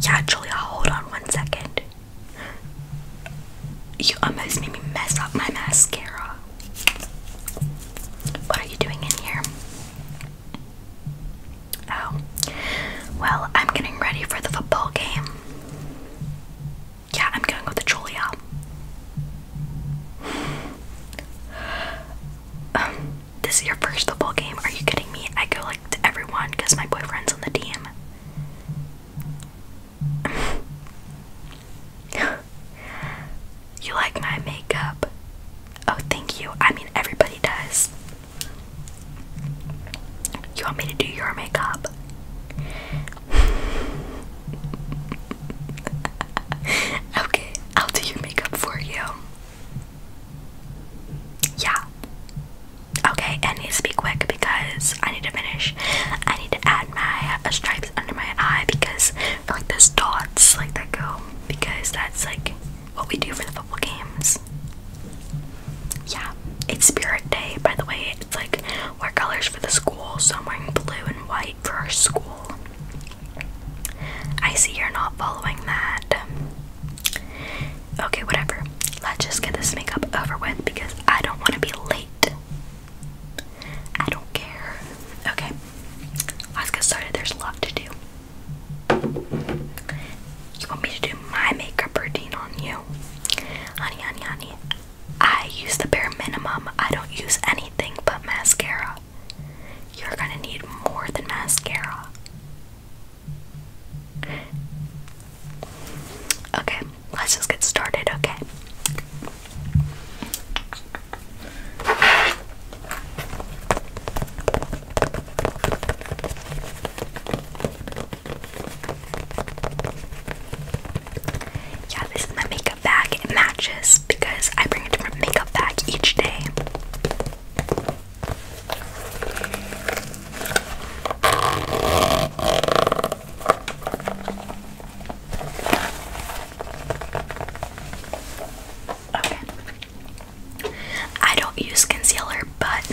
Yeah, Julia, hold on one second. You almost made me mess up my mascara. What are you doing in here? Oh, well, I'm getting ready for the football game. Yeah, I'm going with Julia. Um, this is your first football game? Are you kidding me? I go like to everyone because my boyfriend's on the team. you like my makeup? Oh, thank you. I mean, everybody does. You want me to do your makeup? okay, I'll do your makeup for you. Yeah. Okay, and need to be quick because I need to finish. I need to add my uh, stripes under my eye because like those dots like that go because that's like what we do for the football games. Yeah, it's Spirit Day by the way. It's like wear colors for the school, so I'm wearing blue and white for our school. I see you're not following that. Okay, whatever. Let's just get this makeup over with because I don't want to be late. I don't care. Okay, let's get started. There's a lot to do. You want me to do my makeup routine on you? Honey, honey, honey. I use the bare minimum. I don't use anything but mascara. You're gonna need more than mascara. Okay, let's just get started, okay? Yeah, this is my makeup bag. It matches because I bring makeup bag each day. Okay. I don't use concealer, but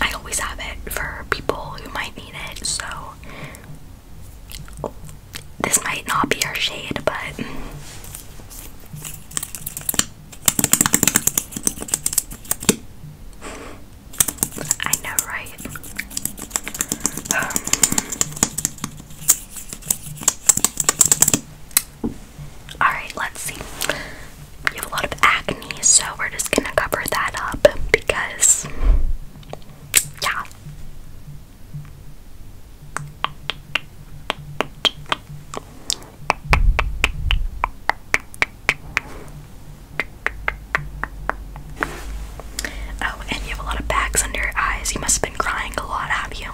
I always have it for people who might need it, so this might not be our shade, but. I know, right? Um, Alright, let's see. You have a lot of acne, so we're just gonna cover that up because, yeah, Oh, and you have a lot of bags under your eyes. You must have been crying a lot, have you?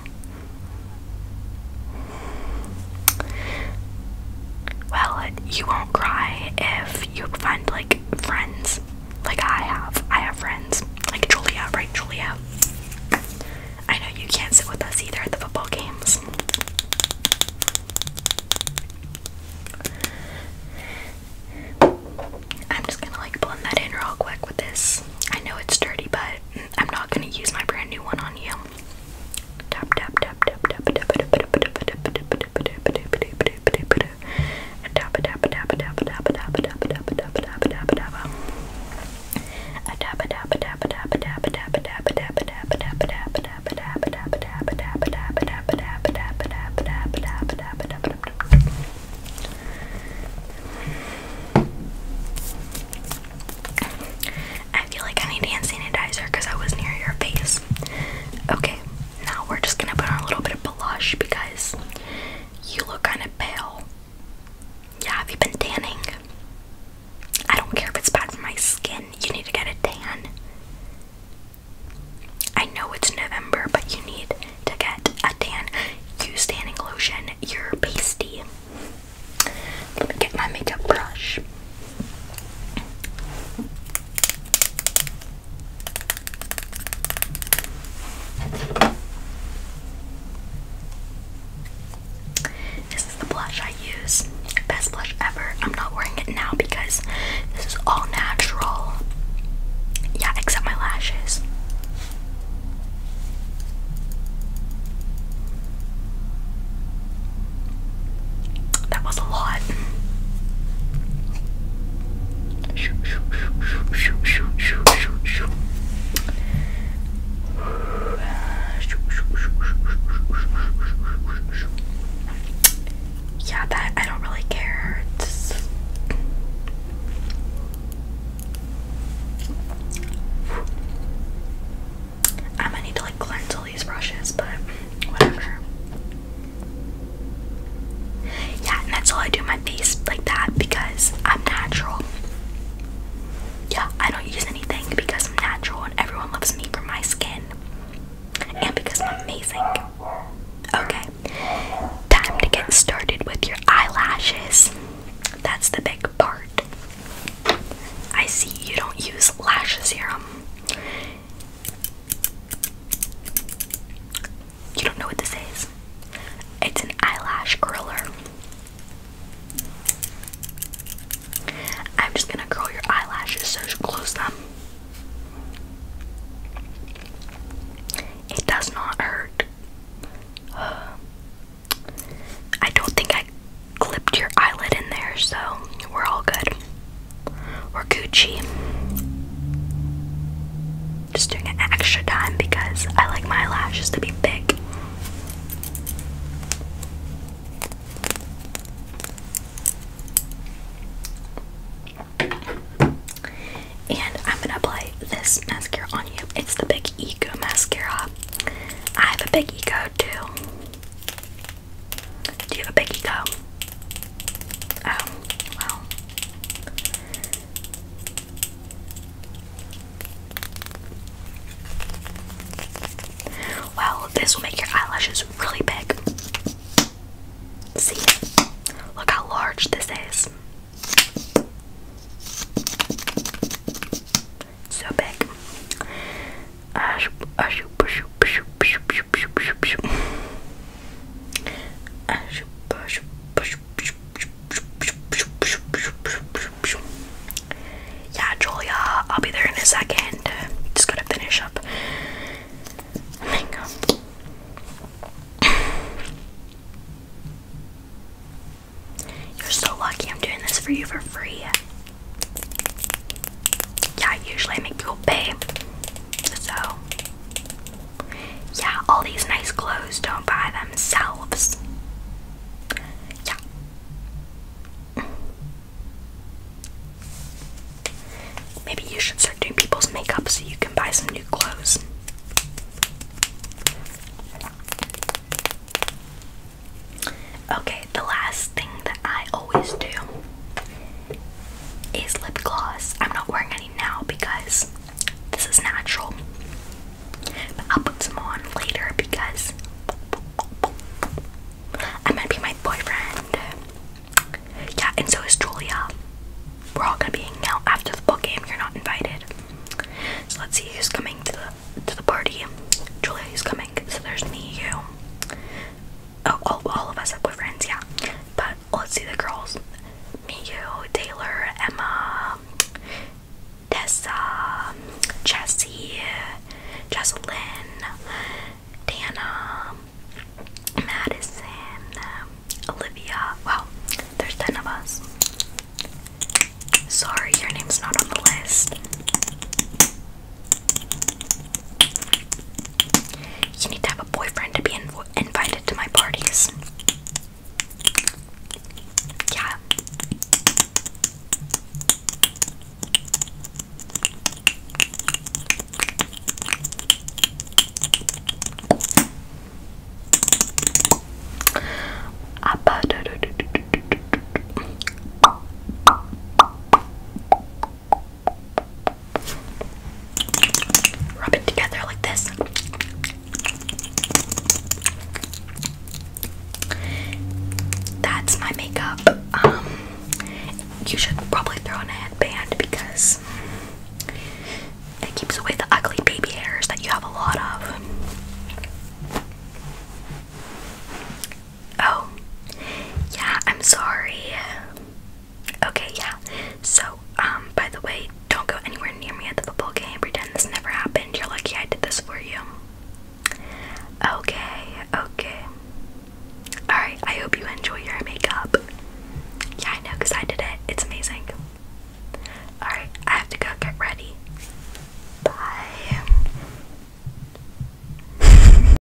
Well, you won't cry if you find like friends, like I have. I have friends, like Julia, right? Julia. I know you can't sit with us either at the football games. I'm just gonna like blend that in real quick with this. I know it's dirty, but I'm not gonna use my brand new one on you. I feel like I need hand sanitizer because I was near your face. Okay, now we're just gonna put on a little bit of blush because you look kind of pale. Yeah, have you been tanning? I don't care if it's bad for my skin. You need to get a tan. I know it's November, but you need to get a tan. Use tanning lotion. You're pasty. Let me get my makeup brush. This is the blush I use. Best blush ever. I'm not wearing it now because this is all natural. Yeah, except my lashes. That was a lot. Yeah, that I don't really care. It's... I'm gonna need to like cleanse all these brushes, but whatever. Yeah, and that's all I do my face like that because I'm natural. Yeah, I don't use anything because I'm natural and everyone loves me for my skin. And because I'm amazing. Okay, time to get started with your eyelashes. That's the big part. I see you don't use lash serum. You don't know what this is. It's an eyelash curler. I'm just gonna curl your eyelashes, so close them. It does not hurt. I don't think I clipped your eyelid in there, so we're all good. We're Gucci. Just doing an extra time because I like my lashes to be big. And I'm gonna apply this mascara on you. It's the Big Eco mascara. I have a Big Eco too. Do you have a Big Eco? Oh, well. Well, this will make your eyelashes really big. See? Look how large this is. So big. Yeah, Julia, I'll be there in a second. Just gotta finish up. You're so lucky I'm doing this for you for free. Yeah, usually I make people pay. So, yeah, all these nice clothes don't buy themselves. Yeah. Maybe you should start doing people's makeup so you can buy some new clothes. Okay, the last thing that I always do is lip gloss. I'm not wearing any now because this is natural. But I'll put some on later because I'm gonna be my boyfriend. Yeah, and so is Julia. We're all gonna be hanging out after the ball game. You're not invited. So let's see who's coming to the to the party. Julia who's coming. So there's me, you. Oh, all, of us are boyfriends, yeah. But let's see the girls. Me, you, Taylor, Emma, Tessa, Jessie, Jessalyn, Dana, Madison, Olivia. Wow, there's 10 of us. Sorry, your name's not on the list. You need to have a boyfriend to be invited to my parties. Yeah. Rub it together like this. That's my makeup. Um, you should probably throw on a headband because it keeps away the ugly baby hairs that you have a lot of. Oh, yeah, I'm sorry. Okay, yeah. So, um, by the way, don't go anywhere near me at the football game. Pretend this never happened. You're lucky I did this for you. Okay, okay. Alright, I hope you enjoy your makeup. Yeah, I know, because I did it. It's amazing. Alright, I have to go get ready. Bye.